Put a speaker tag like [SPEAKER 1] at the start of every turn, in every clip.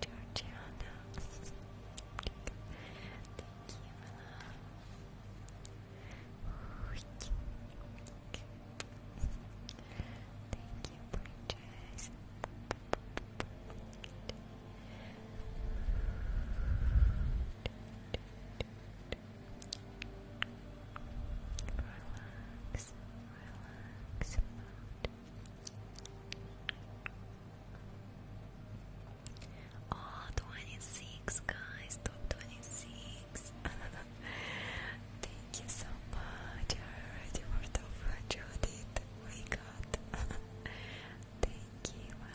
[SPEAKER 1] Georgiana. Thank you, Thank you, Bridget yours. guys, top 26. Thank you so much. I already worked over Judith. We got Thank you, my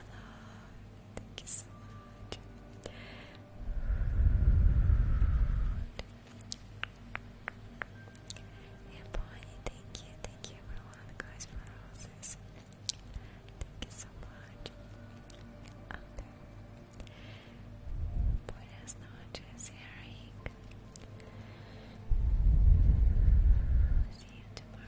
[SPEAKER 1] Thank you so much. Yeah, Bonnie, thank you. Thank you, everyone, guys, for roses. Thank you so much. Um, okay. Buenas noches, Eric. See you tomorrow.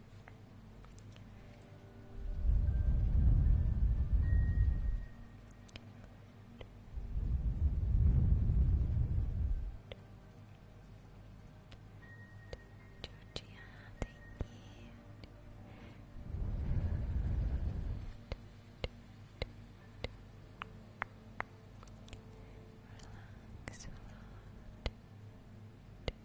[SPEAKER 1] Georgiana, thank you. relax right.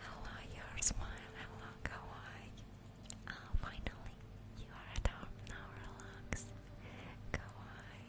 [SPEAKER 1] Hello, your smile. Hello, kawaii. Ah, finally, you are at home now. Relax, kawaii.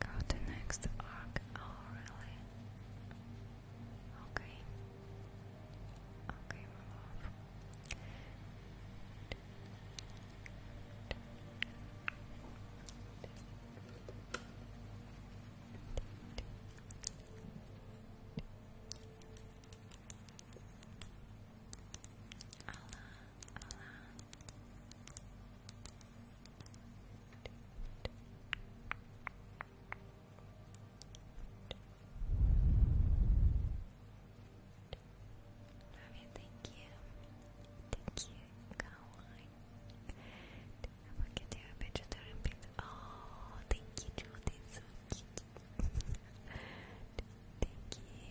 [SPEAKER 1] Go to next arc. Oh, really? Okay. Okay, Ravi, thank you. Thank you, Caroline. I'm going to do a picture to repeat. Oh, thank you, Judy. So cute. thank you.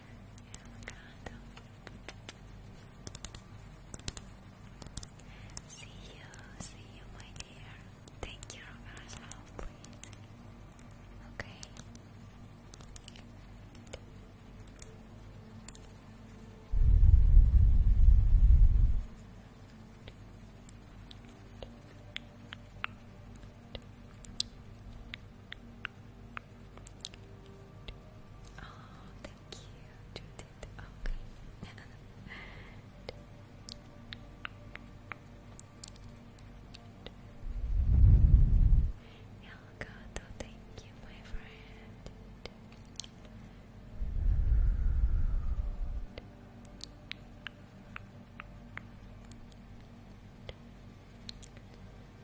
[SPEAKER 1] avocado. See you, see you, my dear. Take care Okay. Oh, thank you, Okay. Elgato, thank you, my friend.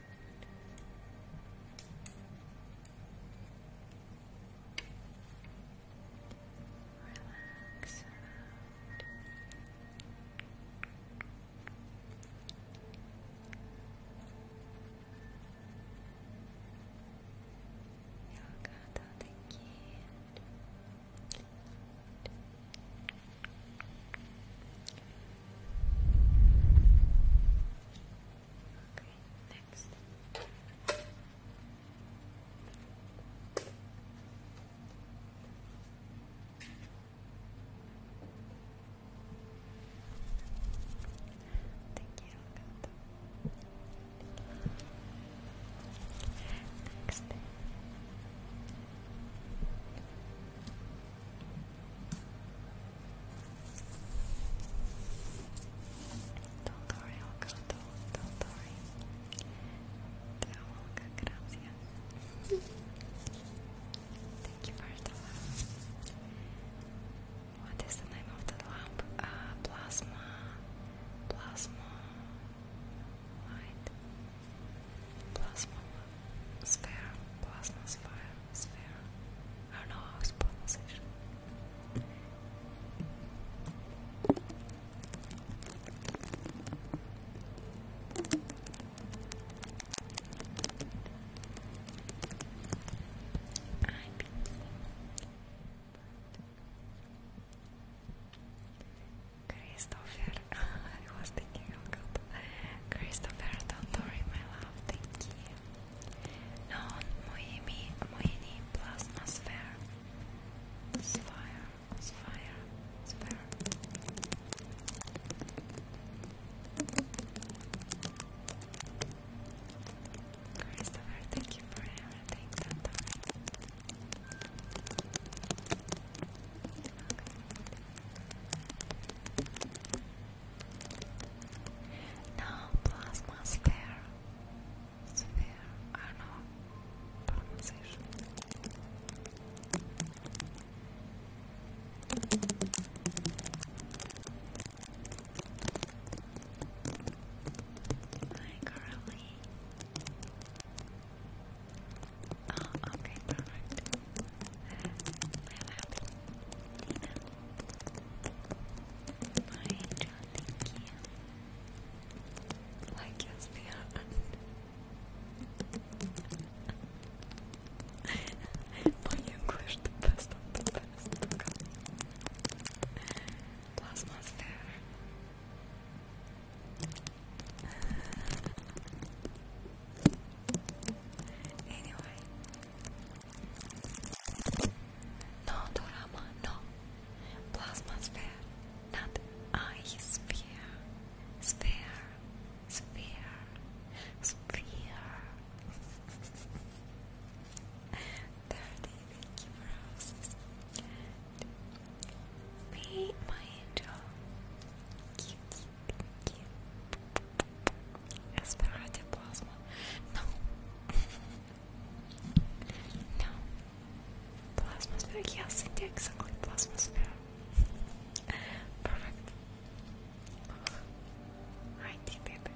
[SPEAKER 1] Relax around. Relax. Okay, next. Thank you, Next. Thank you for the lamp. What is the name of the lamp? Uh, plasma. Plasma. Light. Plasma. Sphere. Plasma sphere. Sphere. I don't know how it's pronounced actually. I Christopher, I was thinking of God. Christopher, don't worry, my love, thank you non moimi moini plasma sphere sphere sphere sphere Christopher thank you for everything now plasma sphere. Sphere. I don't Hi, Carly. Oh, okay, perfect. I'm happy. Nina. My angel, thank you. Like yes, beyond. My English, the best of the best. Plasma's fair. Anyway, no Dorama, no. Plasma sphere, not I sphere. Sphere, sphere, sphere. Thirty, thank Be my angel. Cute, cute, cute. plasma. No. No. Plasmosphere, yes, exactly, plasmosphere. Perfect. I did it.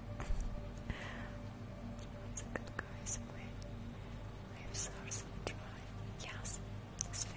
[SPEAKER 1] That's a good guys away. Wave source of Yes, sphere.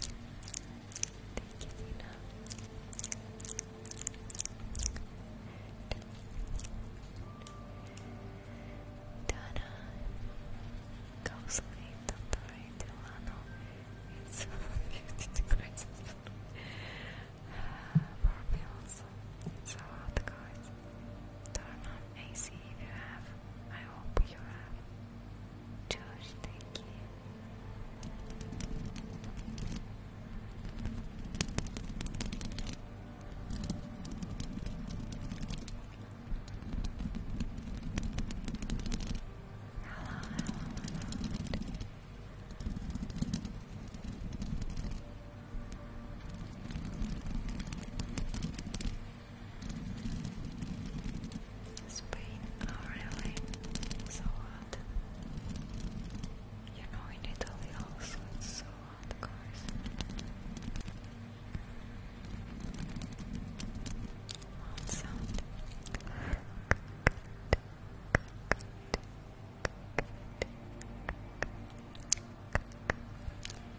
[SPEAKER 1] Thank you, Nina. Dana goes late on the right It's 50 degrees. More pills. So hot, guys. Turn on AC if you have I hope you have Josh, thank you. Hello, Spain, oh really? So hot. You know in Italy also it's so hot, guys. Loud sound. Do,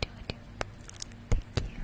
[SPEAKER 1] do. Thank you.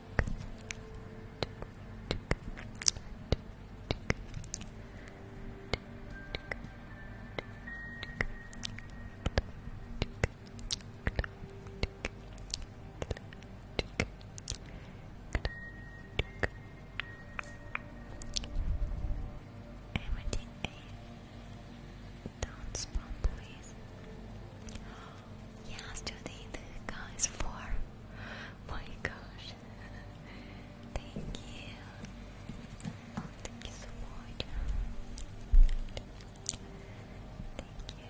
[SPEAKER 1] Everything a spawn please. Yesterday the guys for my gosh. Thank you. Oh, thank you so much. Thank you. Yes.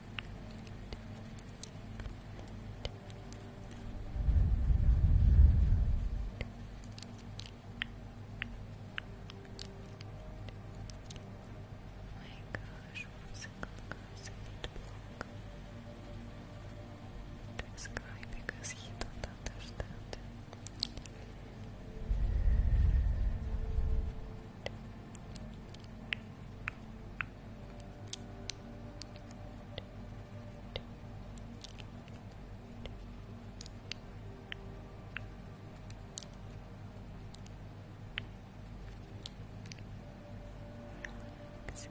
[SPEAKER 1] Oh my gosh, one single person block this because he don't understand Relax, Good.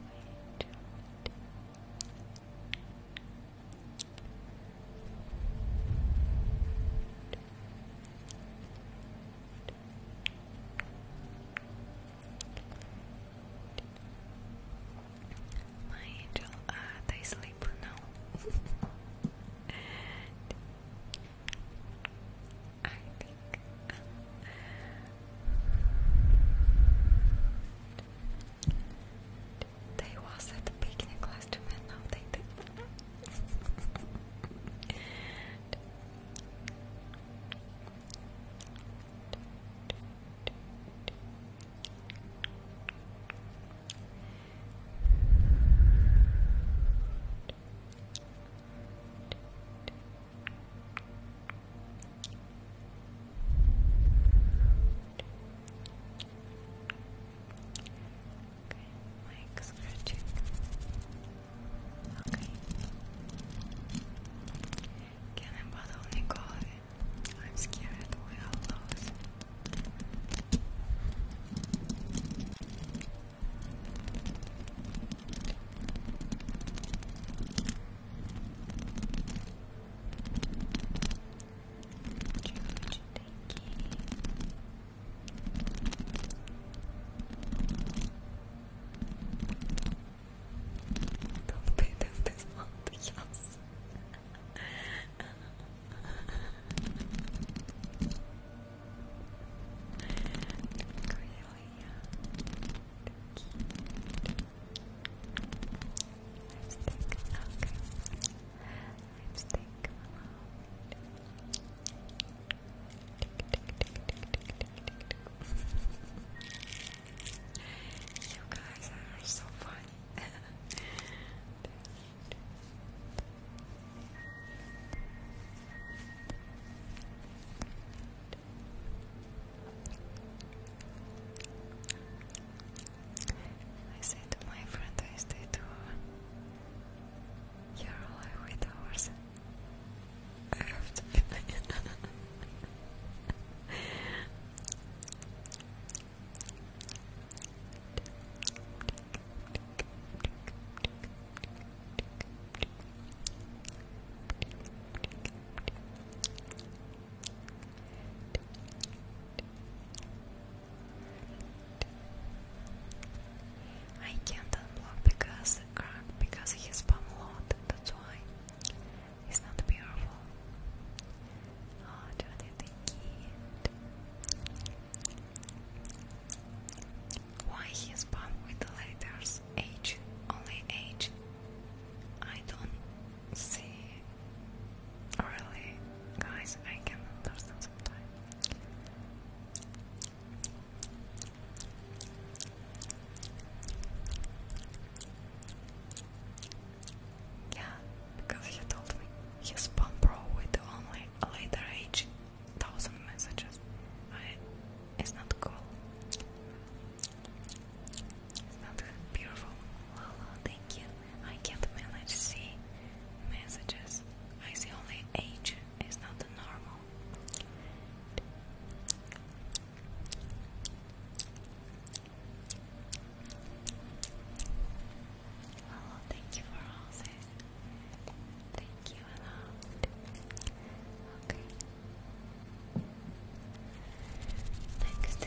[SPEAKER 1] My angel, uh, they sleep now. I think. Uh, they was at the picnic last time and they did. Okay, mic scratching. Ok. Cannon bottle Nicole. I'm scared we all lose. George, thank you. Don't do this this month, yes. Cordelia, lipstick, okay. Lipstick, Tick, tick, tick, tick, you guys are so funny. I say to my friend I stay to You're alive with ours. I have to be I can't unblock because the crack because he spam a lot, that's why. He's not beautiful. Oh, Johnny, the kid. Why he born with the letters H? Only H? I don't see. Really, guys, I can understand sometimes. Yeah, because he told me his spam with only later age thousand messages. it's not cool. It's not beautiful. thank you. I can't manage to see messages. I see only age. It's not normal. Hello, oh, thank you for housing. Thank you, hello. Okay. Next.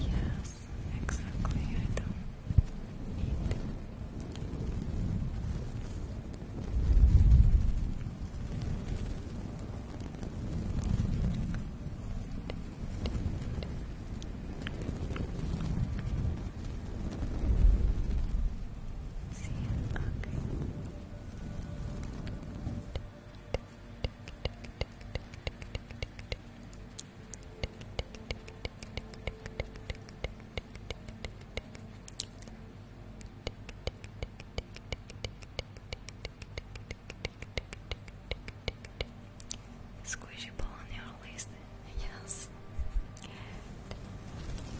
[SPEAKER 1] Yes, exactly. I don't need to. See, okay. Squishy ball on your list, yes. Oh,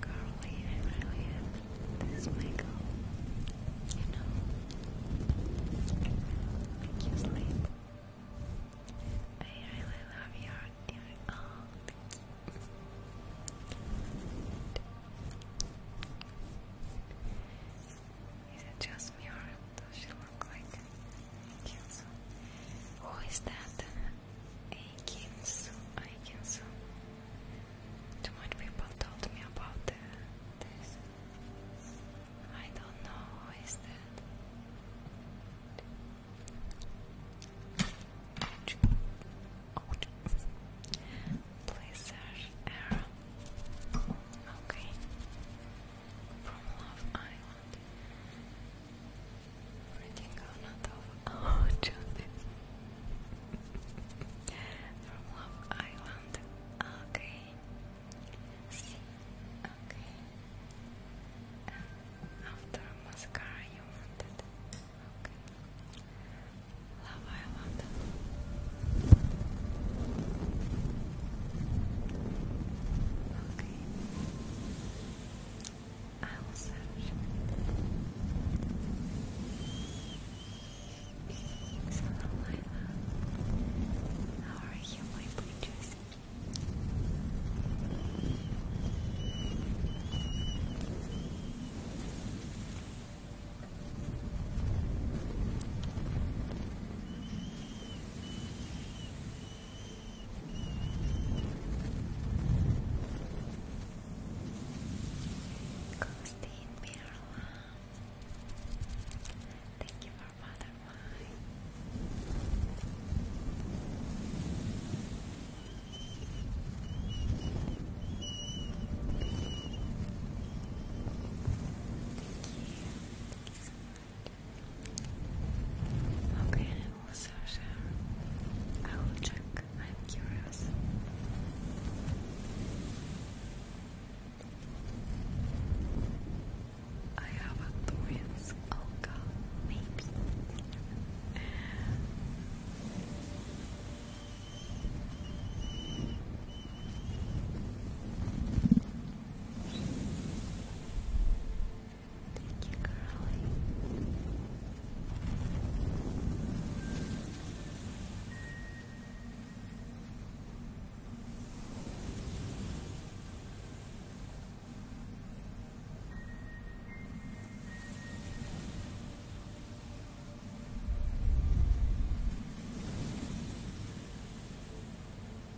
[SPEAKER 1] Carly, I really am. This is my goal. You know, make you sleep. I really love thank you. Is it just me or does she look like Aikinsu? Who is that? Aikinsu, Aikinsu. Too much people told me about this. I don't know who is that. Please search error. Okay from Love Island. Reading out of our Okay. Okay. after mascara you wanted. Okay. Love Island. Okay. I will search. So, Lila, how are you, my bridges? Constantine Mirla. Thank you for butterfly. Thank Thank you Okay, I I will check. I'm curious. I have a twins. maybe. Thank you, Carly okay.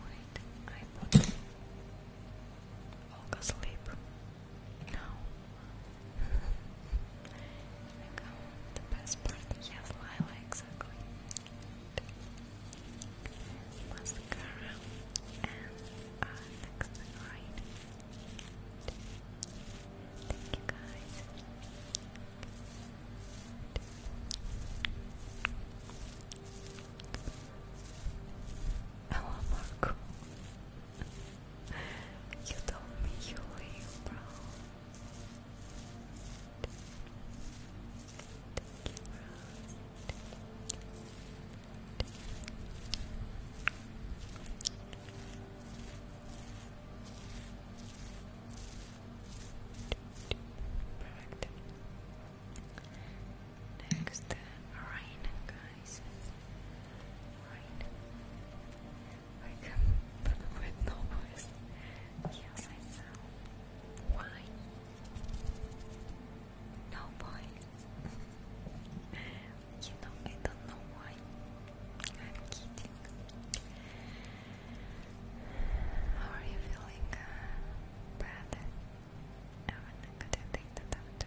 [SPEAKER 1] Wait, I am Olga sleep. No. the best part. Yes, Lila, exactly mascara and our next ride. Thank you guys. Hello Marco. you told me you leave, bro. bro. Perfect. Next, uh, guys. Rain. I come with no Yes, I sound. Why? No points. you know, I don't know why. I'm kidding. How are you feeling? Uh, bad? I'm to take the time to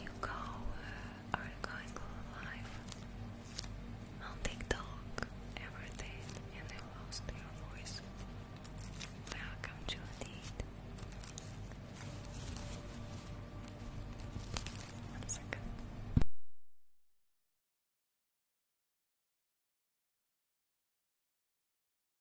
[SPEAKER 1] you go uh, are going live on TikTok every day and you lost your voice. Welcome to it. One second.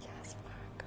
[SPEAKER 1] Yes, Marco.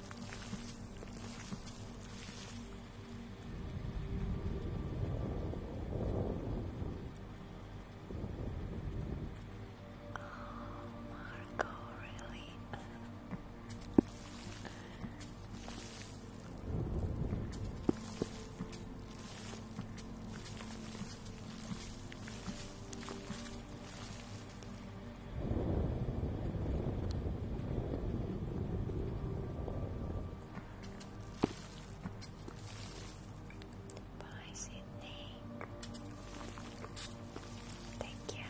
[SPEAKER 1] Oh, Marco, really? Bye, Sydney. Take care.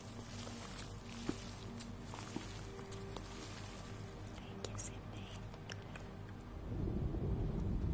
[SPEAKER 1] Thank you, Sydney. Thank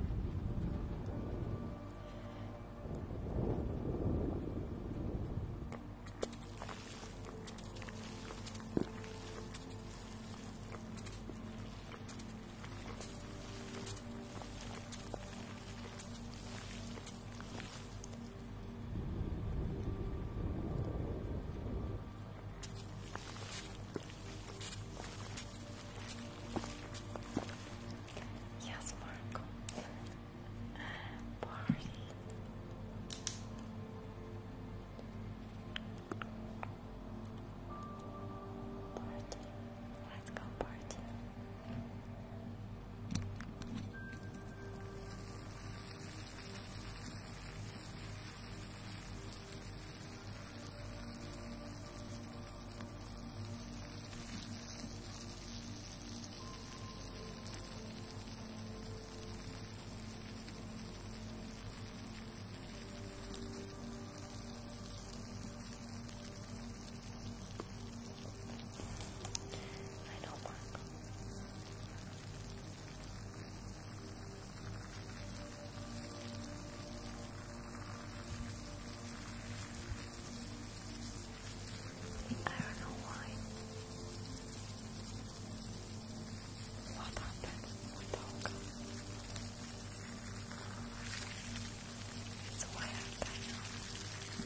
[SPEAKER 1] Yes, Marco. Party. Party. Let's go party. I don't work. I don't know why. What happened? What dog? It's a wild I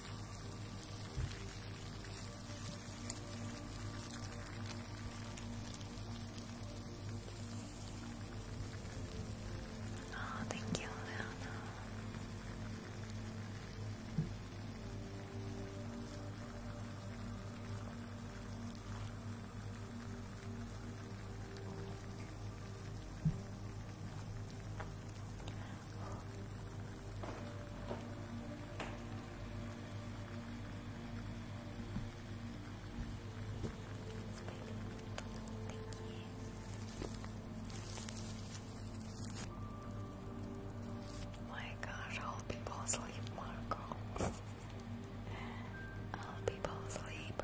[SPEAKER 1] Oh, thank you, Leona. My gosh, all people sleep, Marco. all people sleep.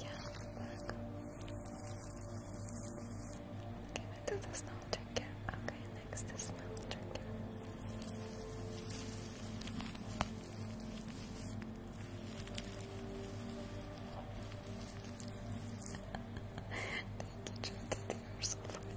[SPEAKER 1] Yeah, Okay, we do the snow Okay, next the snow trigger. Thank you, Jackie. you so funny.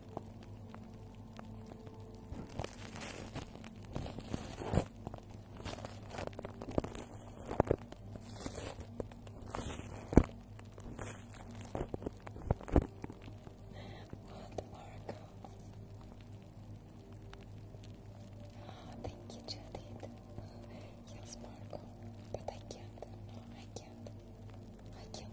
[SPEAKER 1] What oracles? Oh, thank you, Judith. Yes, Marco, but I can't. I can't. I can't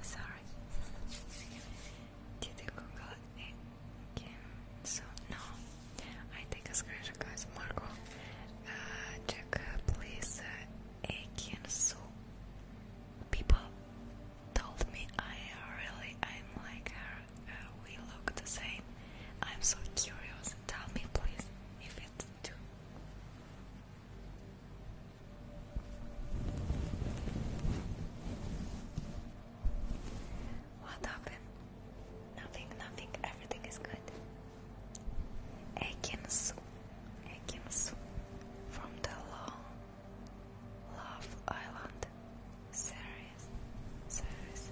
[SPEAKER 1] Sorry, did you Google it no, I take a screenshot, guys. Marco, check uh, please. Uh, Akin so people told me I really am like her. we look the same. I'm so curious. Tell me, please, if it's true. What happened? Nothing, nothing. Everything is good. Ekin Su. Ekin Su. From the long Love Island series series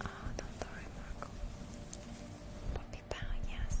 [SPEAKER 1] Ah, oh, Dr. Remarkable Poppy Power, yes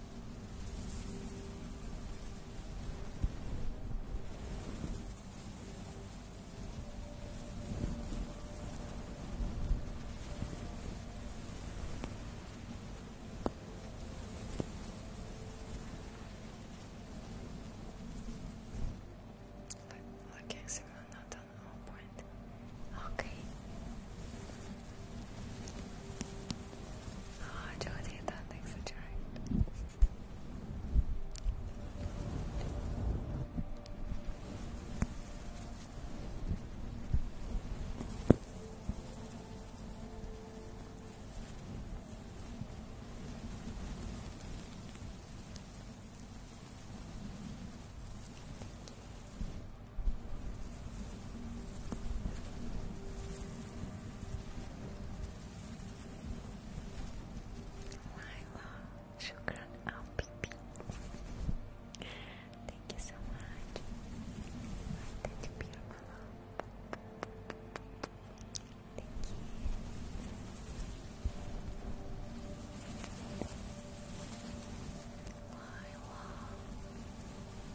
[SPEAKER 1] Look, looking signal not on all point. Okay. Ah, oh, Josie, that thanks for joining. Thank you. Laila, shukran al Thank you so much. That beautiful. Thank you. Lila.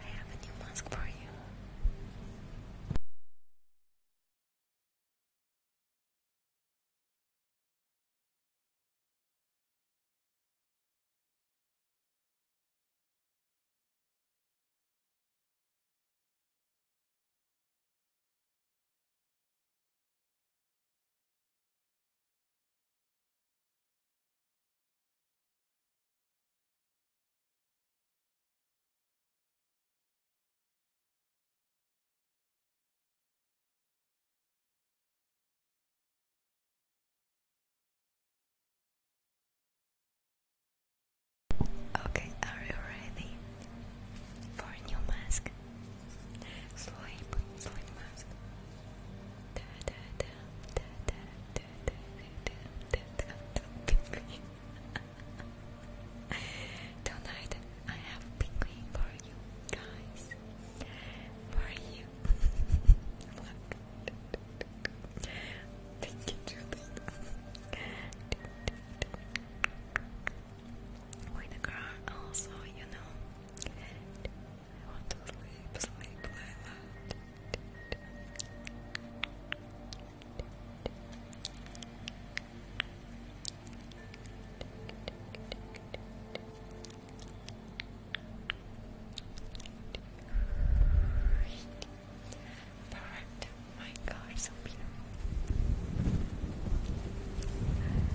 [SPEAKER 1] I have a new mask for you. Okay, are you ready for new mask? Sleep, sleep mask. Da da da da da da Tonight I have penguin for you guys. For you. Thank you, Judith. With the girl also, you Perfect. My God, so beautiful. Perfect.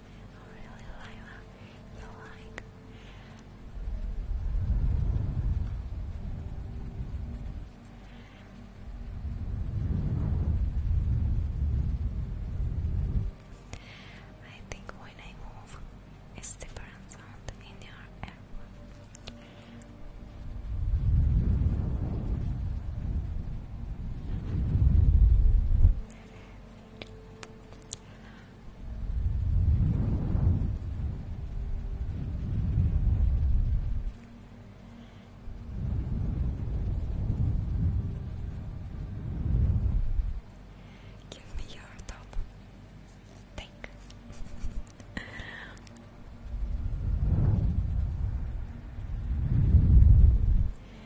[SPEAKER 1] Oh You I think when I move, it's different sound in your air. Give me your top. Thank.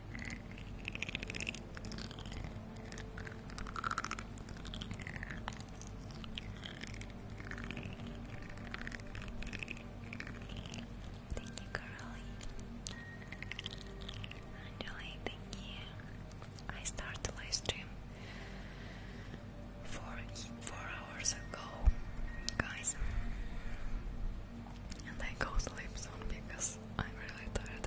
[SPEAKER 1] Thank you, Carly. Enjoy, thank you. I started live stream four, four hours ago, guys. And I go sleep soon because I'm really tired.